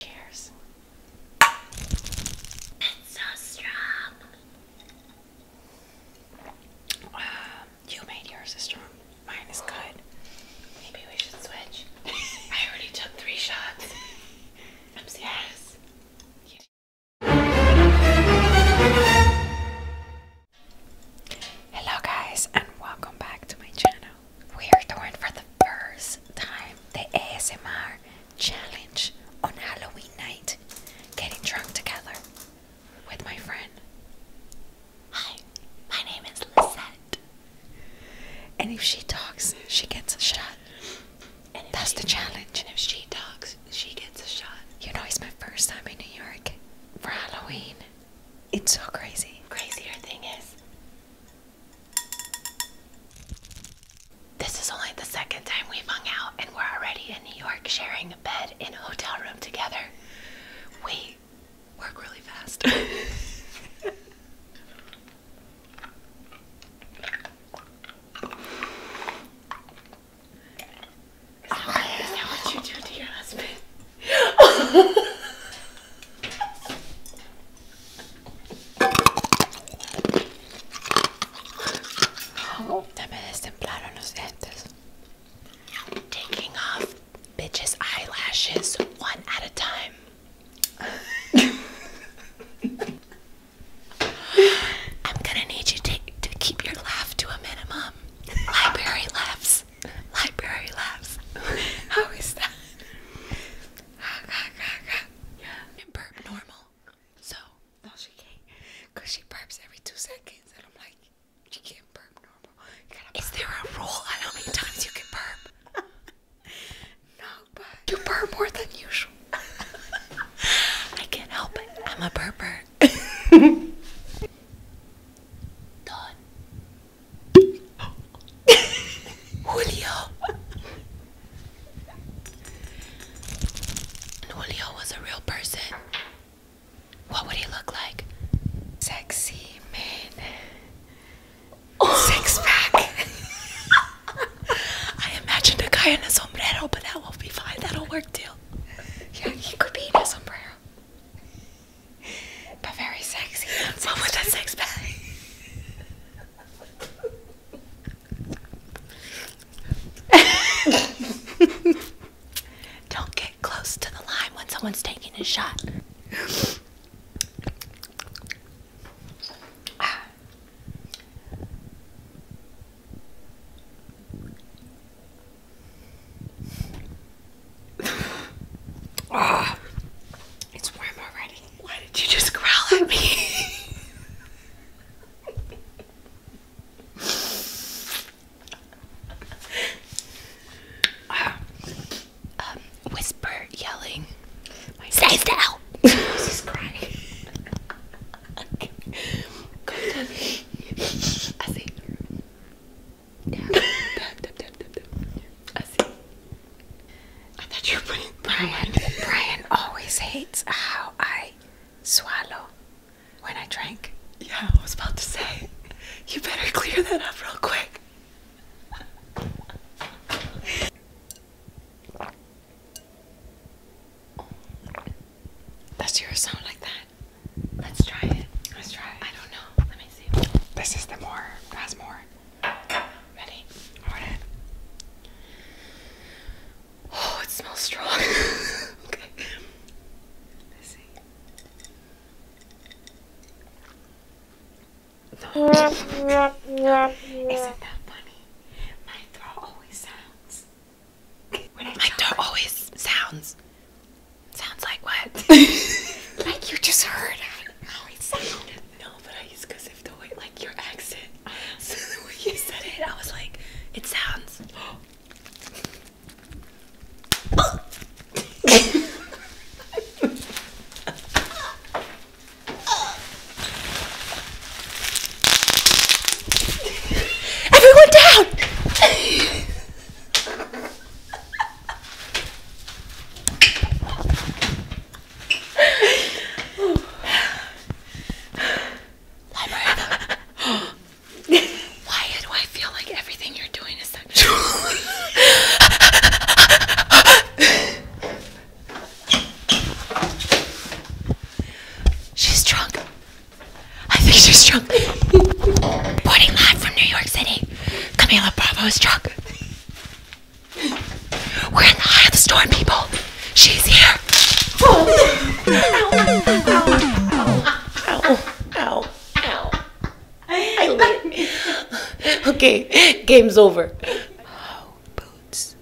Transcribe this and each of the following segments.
Cheers. It's so strong. Uh, you made yours strong. Mine is good. Maybe we should switch. I already took three shots. i Hello guys and welcome back to my channel we are doing for the first time the ASMR challenge on Halloween night. Getting drunk together with my friend. Hi, my name is Lisette. And if she talks, she gets a shot. And That's the challenge. And if she talks, she gets a shot. You know, it's my first time in New York for Halloween. It's so crazy. Crazier thing is, this is only the second time we've hung out, and we're already in New York sharing a bed in a hotel room together. We work really fast. Is that what you do to your husband? Se oh, me destemplaron los dientes. Taking off bitches' eyelashes one at a time. I'm gonna need you to, to keep your laugh to a minimum. Library laughs. Library laughs. How is that? yeah. normal. So no, she can't, she burps every two seconds, and I'm like, she can't burp normal. You got Is there a rule on how many times you can burp? no, but you burp more than usual. I can't help it. I'm a burper. Done. Julio. Julio was a real person. What would he look like? Sexy man. Oh. Six pack. I imagined a guy in a sombrero, but that won't be fine. That'll work too. Yeah, he could be in a sombrero but very sexy. What was a sex bag? Don't get close to the line when someone's taking a shot ah, it's warm already. Why did you just growl at me? uh, whisper, yelling. My still! She's crying. I see. I see. I thought you were putting Brian. Brian always hates how I swallow when I drink. Yeah, I was about to say. You better clear that up real quick. Does yours sound like that? Let's try it. Let's try it. I don't know. Let me see. This is the more. Has more. Ready? Pour it Oh, it smells strong. okay. Let's see. Isn't that funny? My throat always sounds. My throat always sounds. Sounds like what? like you just heard. No, but I used because if the way, like your accent, so the way you said it, I was like, it sounds. Everyone down! Why do I feel like everything you're doing is sexual? she's drunk. I think she's drunk. Boarding live from New York City. Camila Bravo is drunk. We're in the eye of the storm, people. She's here. ow, ow, ow, okay, game's over. Oh, boots.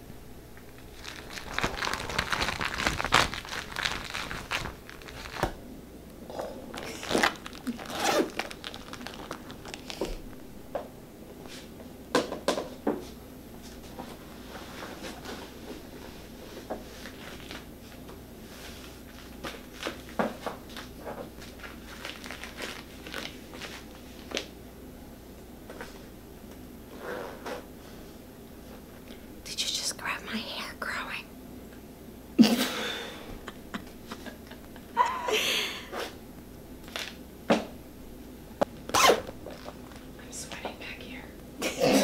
Did you just grab my hair growing? I'm sweating back here.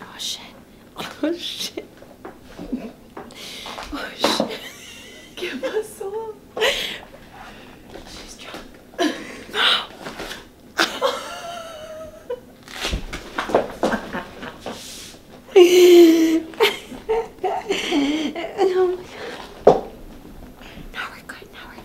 oh shit. Oh shit. Oh shit. Give us some. She's drunk. No oh my god. Now we're good, now we're good.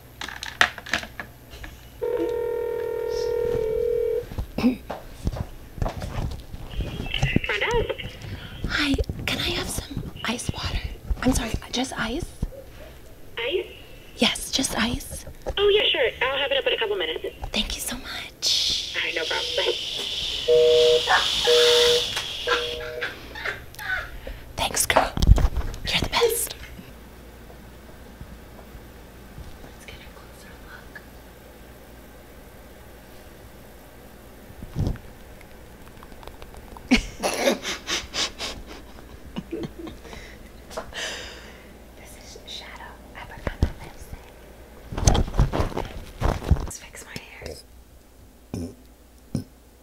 Hi, can I have some ice water? I'm sorry, just ice? Ice? Yes, just ice. Oh, yeah, sure. I'll have it up in a couple minutes. Thank you so much. All right, no problem. Bye. Thanks, girl. You're the best. Let's get a closer look. this is Shadow. I forgot my lipstick. Let's fix my hair.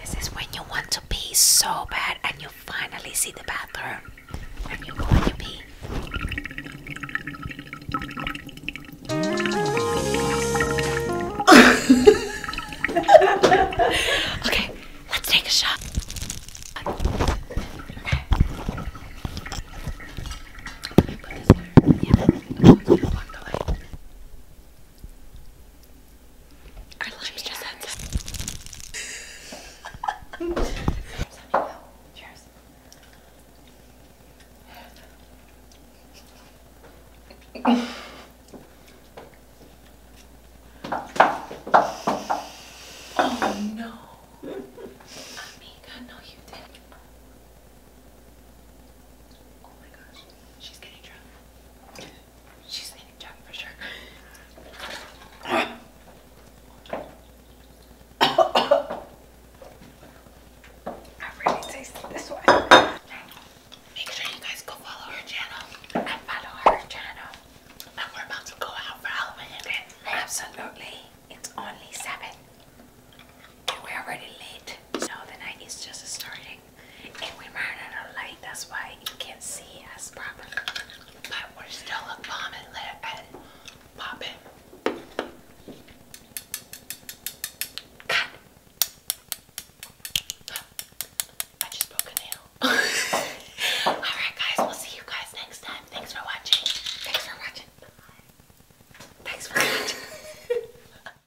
This is when you want to pee so bad and you finally see the bathroom and you go and you pee. okay, let's take a shot. Our lunch just ends oh no. Amiga, no you did Oh my gosh. She's getting drunk. She's eating junk for sure. I really tasted this one. Make sure you guys go follow her channel. I follow her channel. And we're about to go out for Halloween Absolutely. It's only 7. And we're already late. So the night is just starting. And we murdered a light, that's why you can't see us properly. But we're still a lit and popping. Cut! I just broke a nail. Alright guys, we'll see you guys next time. Thanks for watching. Thanks for watching. Thanks for watching.